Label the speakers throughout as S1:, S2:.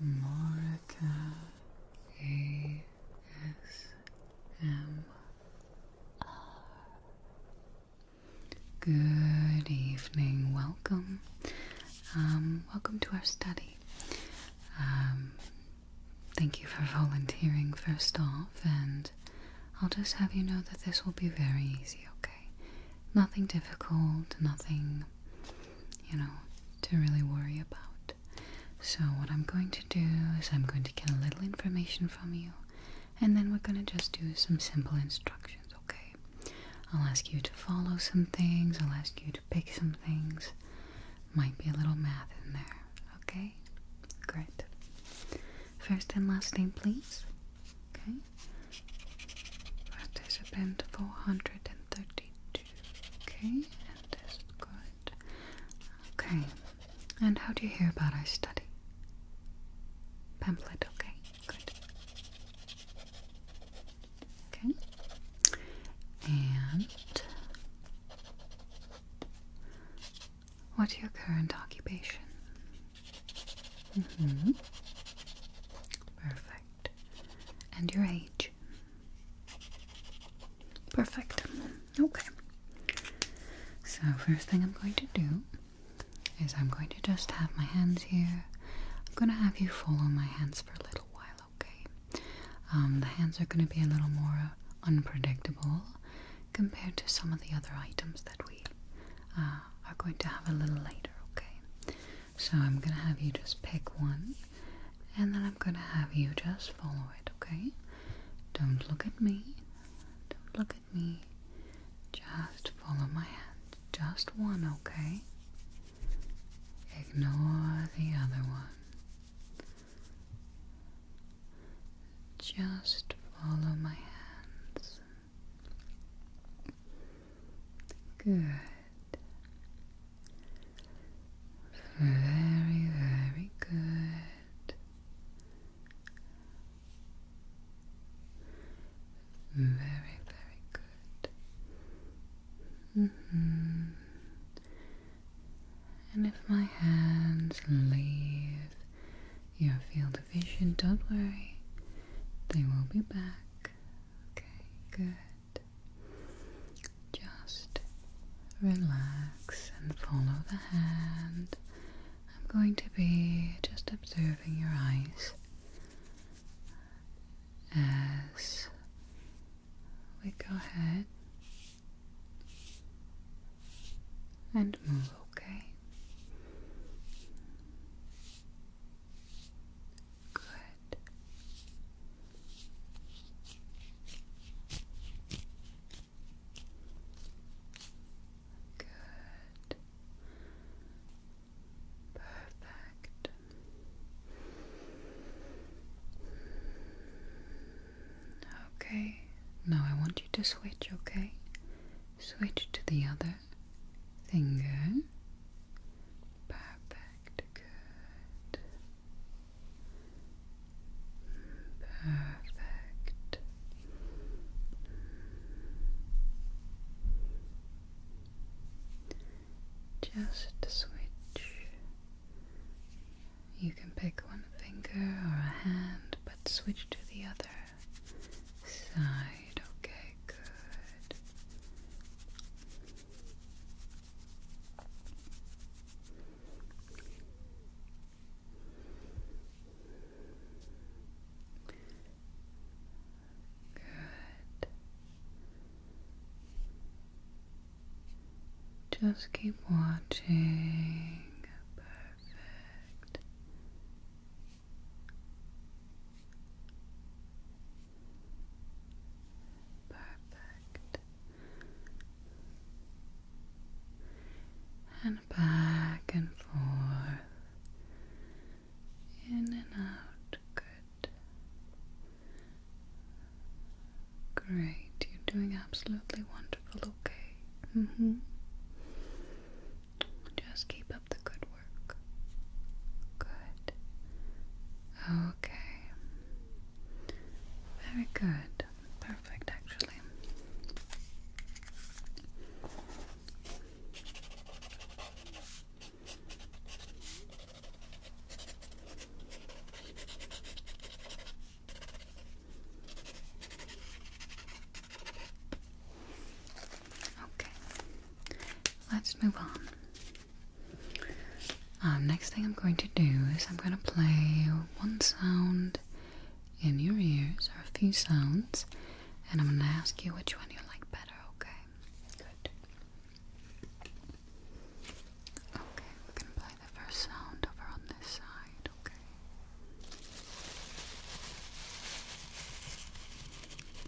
S1: Morika Good evening, welcome. Um, welcome to our study. Um, thank you for volunteering, first off, and I'll just have you know that this will be very easy, okay? Nothing difficult, nothing you know, to really worry about. So, what I'm going to do is I'm going to get a little information from you, and then we're going to just do some simple instructions, okay? I'll ask you to follow some things, I'll ask you to pick some things. Might be a little math in there, okay? Great. First and last name, please. Okay. Participant 432. Okay, that is good. Okay, and how do you hear about our study? Pamphlet, okay, good. Okay, and what's your current occupation? Mm hmm. Perfect and your age. Perfect. Okay. So, first thing I'm going to do is I'm going to just have my hands here. I'm going to have you follow my hands for a little while, okay? Um, the hands are going to be a little more unpredictable compared to some of the other items that we uh, are going to have a little later, okay? So I'm going to have you just pick one and then I'm going to have you just follow it, okay? Don't look at me. Don't look at me. Just follow my hand. Just one, okay? Ignore the other one. Just follow my hands. Good. Very, very good. Very, very good. And if my hands leave your field of vision, don't worry, they will be back. Okay, good. Just relax and follow the hand. I'm going to be just observing your eyes as we go ahead and move, okay? Good. Good. Perfect. Mm. Okay, now I want you to switch, okay? Switch to the other finger, finger. Perfect, good. Perfect. Just switch. You can pick one finger or a hand, but switch to the other side. Okay, good. Good. Just keep watching. Perfect. Perfect. And back and forth. In and out. Good. Great. You're doing absolutely wonderful, okay? Mm hmm. Just keep Keep up the good work. Good. Okay. Very good. Perfect, actually. Okay, let's move on. Um, next thing I'm going to do is I'm going to play one sound in your ears, or a few sounds, and I'm going to ask you which one you like better, okay? Good. Okay, we're going to play the first sound over on this side, okay?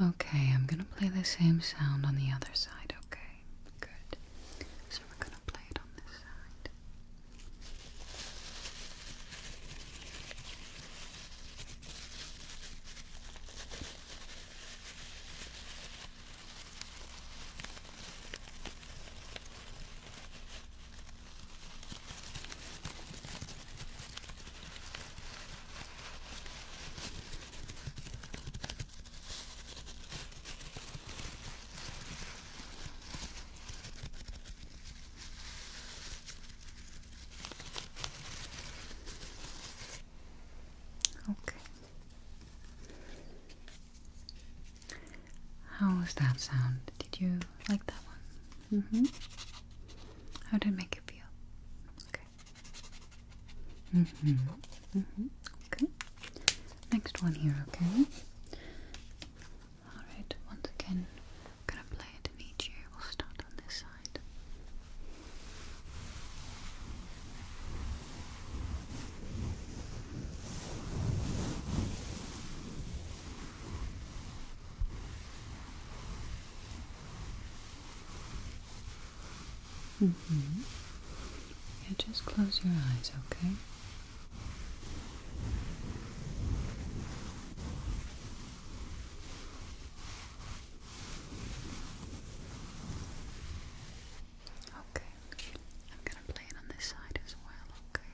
S1: Okay, I'm gonna play the same sound on the other side, okay? Good. So we're gonna play it on this side. Okay. How was that sound? Did you like that one? Mm hmm. How did it make you feel? Okay. Mm hmm. Mm hmm. Okay. Next one here, okay? Alright, once again, gonna play it in each ear. We'll start on this side. Okay. Mm hmm Yeah, just close your eyes, okay? Okay, I'm gonna play it on this side as well, okay?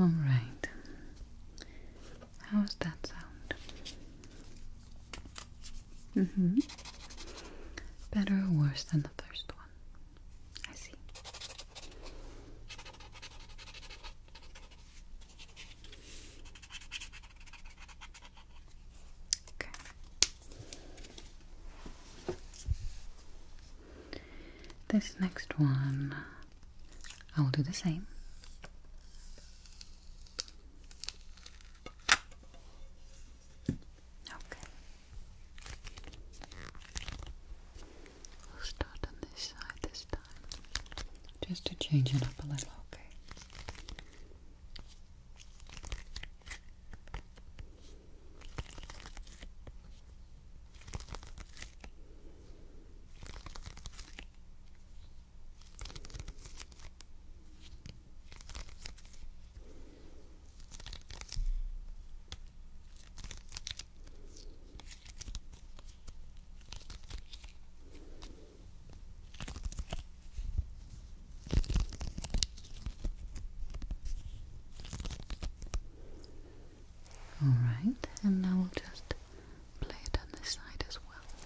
S1: All right. How How's that sound? Mm hmm. Better or worse than the first one? I see. Okay. This next one, I will do the same. Okay. We'll start on this side this time, just to change it up a little, okay? All right, and now we'll just play it on this side as well.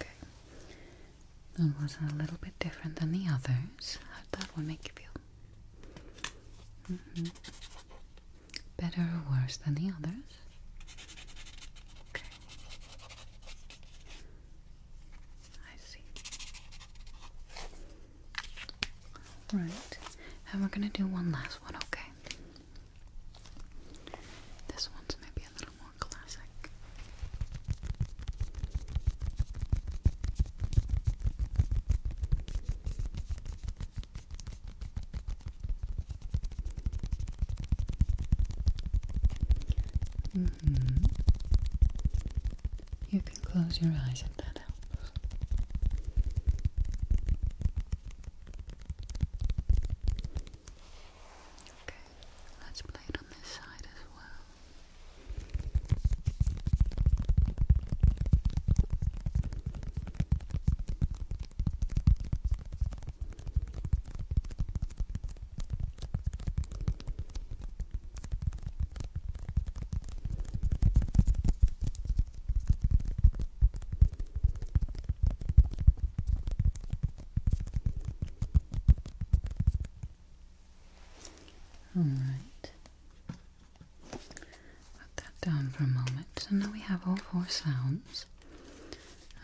S1: Okay. That was a little bit different than the others. How'd that make you feel? Mm-hmm. Better or worse than the others? Okay. I see. Right. And we're gonna do one last one, okay? This one's maybe a little more classic. Mm-hmm. You can close your eyes if that helps. Okay, let's play it on this side as well. All right. Let that down for a moment. So now we have all four sounds.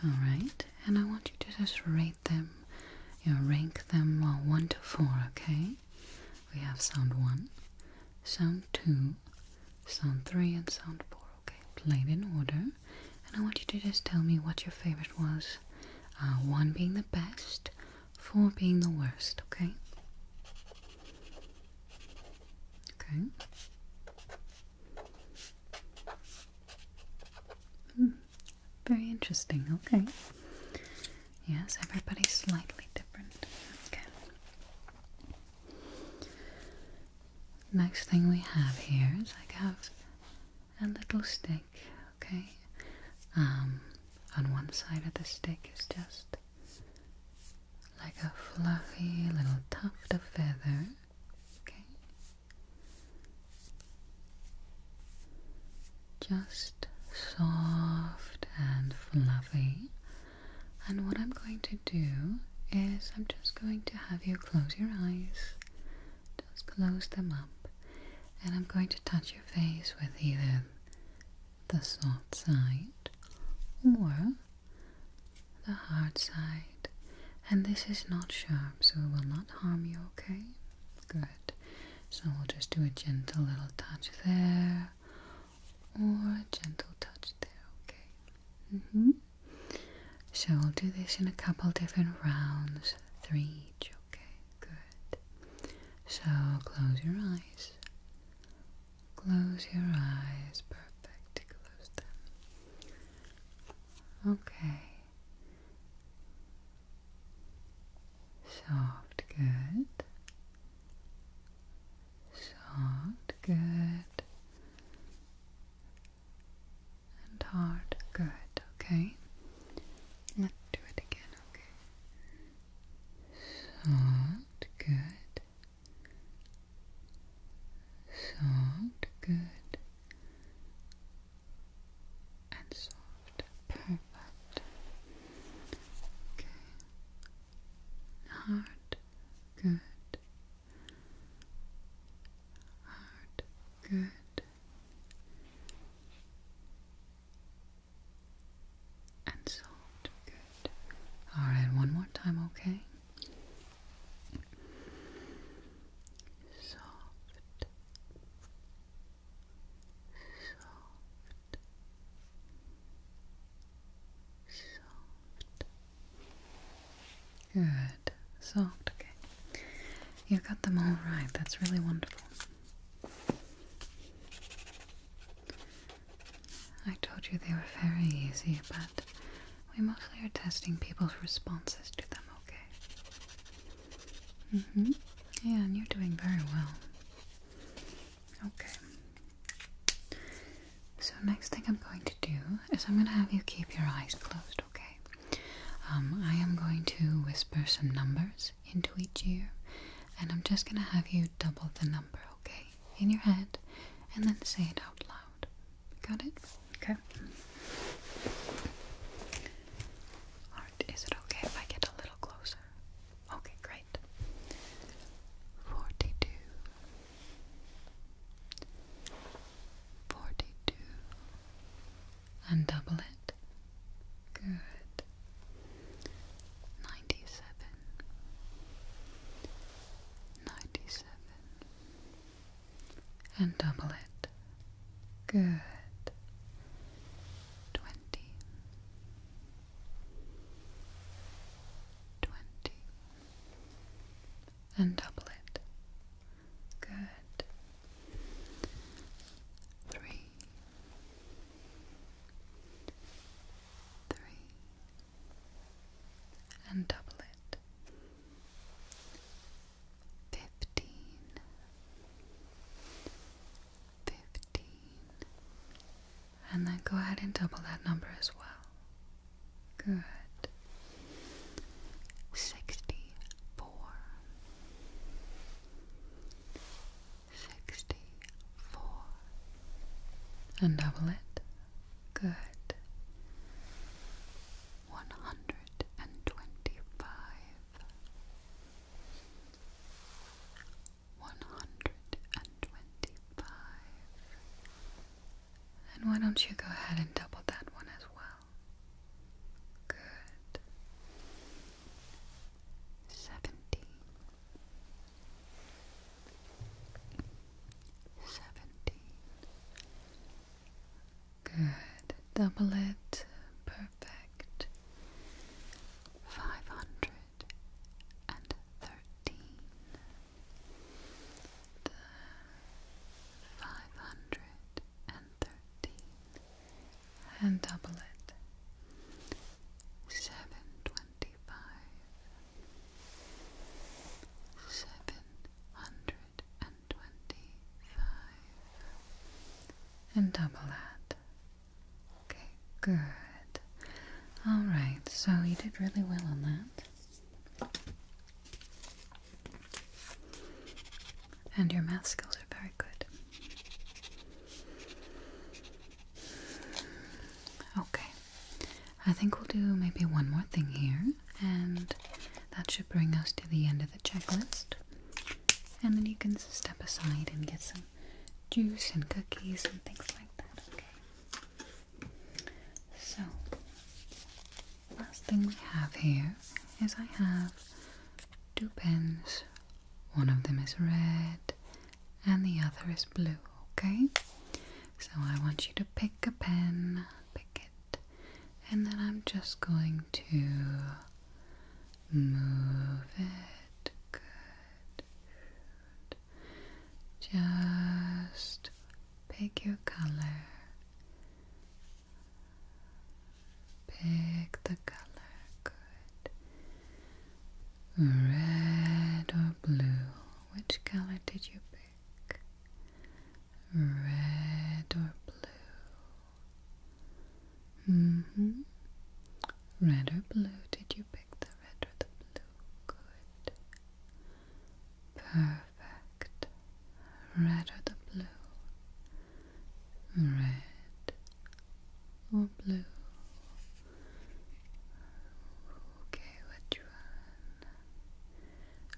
S1: Alright, and I want you to just rate them, you know, rank them well, 1 to 4, okay? We have sound 1, sound 2, sound 3, and sound 4, okay? Played in order. And I want you to just tell me what your favorite was. Uh, 1 being the best, 4 being the worst, okay? Okay. Hmm, very interesting. Okay. Yes, everybody's slightly different. Okay. Next thing we have here is I have a little stick. Okay. Um, on one side of the stick is just like a fluffy little tuft of feather. Okay just soft and fluffy. And what I'm going to do is, I'm just going to have you close your eyes, just close them up, and I'm going to touch your face with either the soft side or the hard side. And this is not sharp, so it will not harm you, okay? Good. So we'll just do a gentle little touch there, or a gentle touch there, okay? -hmm. So we'll do this in a couple different rounds, three okay? Good. So close your eyes. Close your eyes, perfect. Close them. Okay. Soft, good. Soft, good. And hard, good. Okay. Let's do it again, okay. Soft, good soft, good, and soft, perfect. Okay, hard, good, hard, good, and soft, good. All right, one more time, okay soft, soft, soft. Good, soft. Okay, you got them all right. That's really wonderful. I told you they were very easy, but we mostly are testing people's responses to them, okay? Mm hmm. Yeah, and you're doing very well. Okay. So, next thing I'm going to do is I'm going to have you keep your eyes closed, okay? Um, I am going to whisper some numbers into each ear, and I'm just going to have you double the number, okay? In your head, and then say it out loud. Got it? Okay. Alright, is it okay if I get a little closer? Okay, great. Forty two. Forty two. And double it. Good. Ninety seven. Ninety seven and double it. Good. Twenty. Twenty. And double it. Good. Three. Three and double it. Fifteen, fifteen, and then go ahead and double that number as well. Good. Sixty four, sixty four, and double it. Good. One hundred and twenty five. One hundred and twenty five. And why don't you go ahead and double that one as well? Good. Seventy seventeen. Good. Double it. Perfect. Five hundred and thirteen. Five hundred and thirteen. And double it. Seven twenty five seven hundred and twenty five. And double that. Okay, good. Alright, so you did really well on that. And your math skills are very good. Okay. I think we'll do maybe one more thing here, and that should bring us to the end of the checklist. And then you can step aside and get some juice and cookies and things like that, okay? So, last thing we have here is I have two pens. One of them is red and the other is blue, okay? So I want you to pick take a pen, pick it, and then I'm just going to move it. Good. Just pick your color. Pick the color. Good. Red or blue? Which color did you pick? red or blue? Mm-hmm. Red or blue? Did you pick the red or the blue? Good. Perfect. Red or the blue? Red or blue? Okay, which one?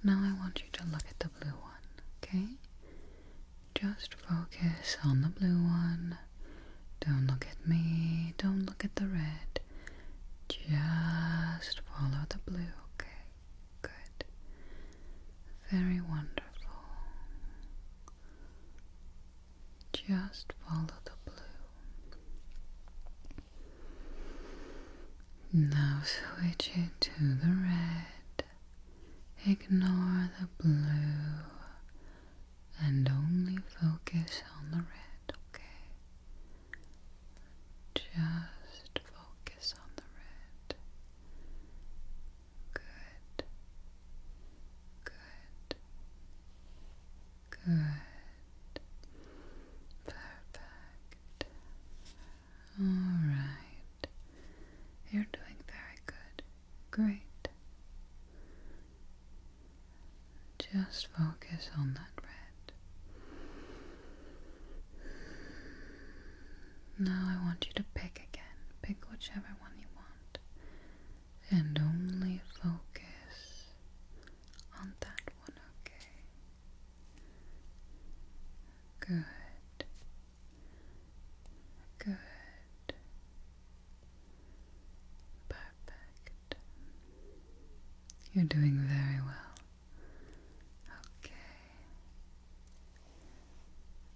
S1: Now I want you to look at the blue one, okay? Just focus on the blue one. Don't look at me. Don't look at the red. Just follow the blue, okay? Good. Very wonderful. Just follow the blue. Now switch it to the red. Ignore the blue and only focus on the red, okay? Just focus on the red. Good. Good. Good. Perfect. All right. You're doing very good. Great. Just focus on that red. Now I want you to pick again. Pick whichever one you want. And only focus on that one, okay? Good. Good. Perfect. You're doing very well. Okay.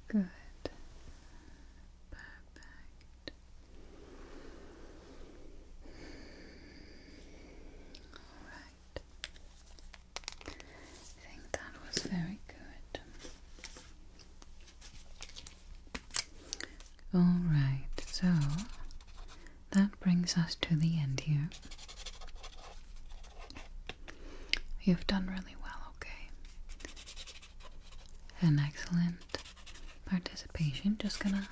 S1: Good. Perfect. Alright. I think that was very good. Alright, so that brings us to the end here. You've done really well, okay? An excellent participation. Just gonna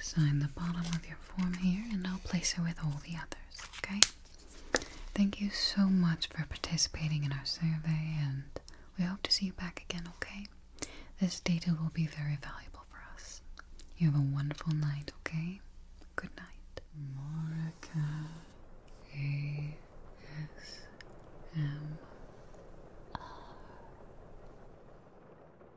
S1: sign the bottom of your form here, and I'll place it with all the others, okay? Thank you so much for participating in our survey, and we hope to see you back again, okay? This data will be very valuable for us. You have a wonderful night, okay? Good night. Morica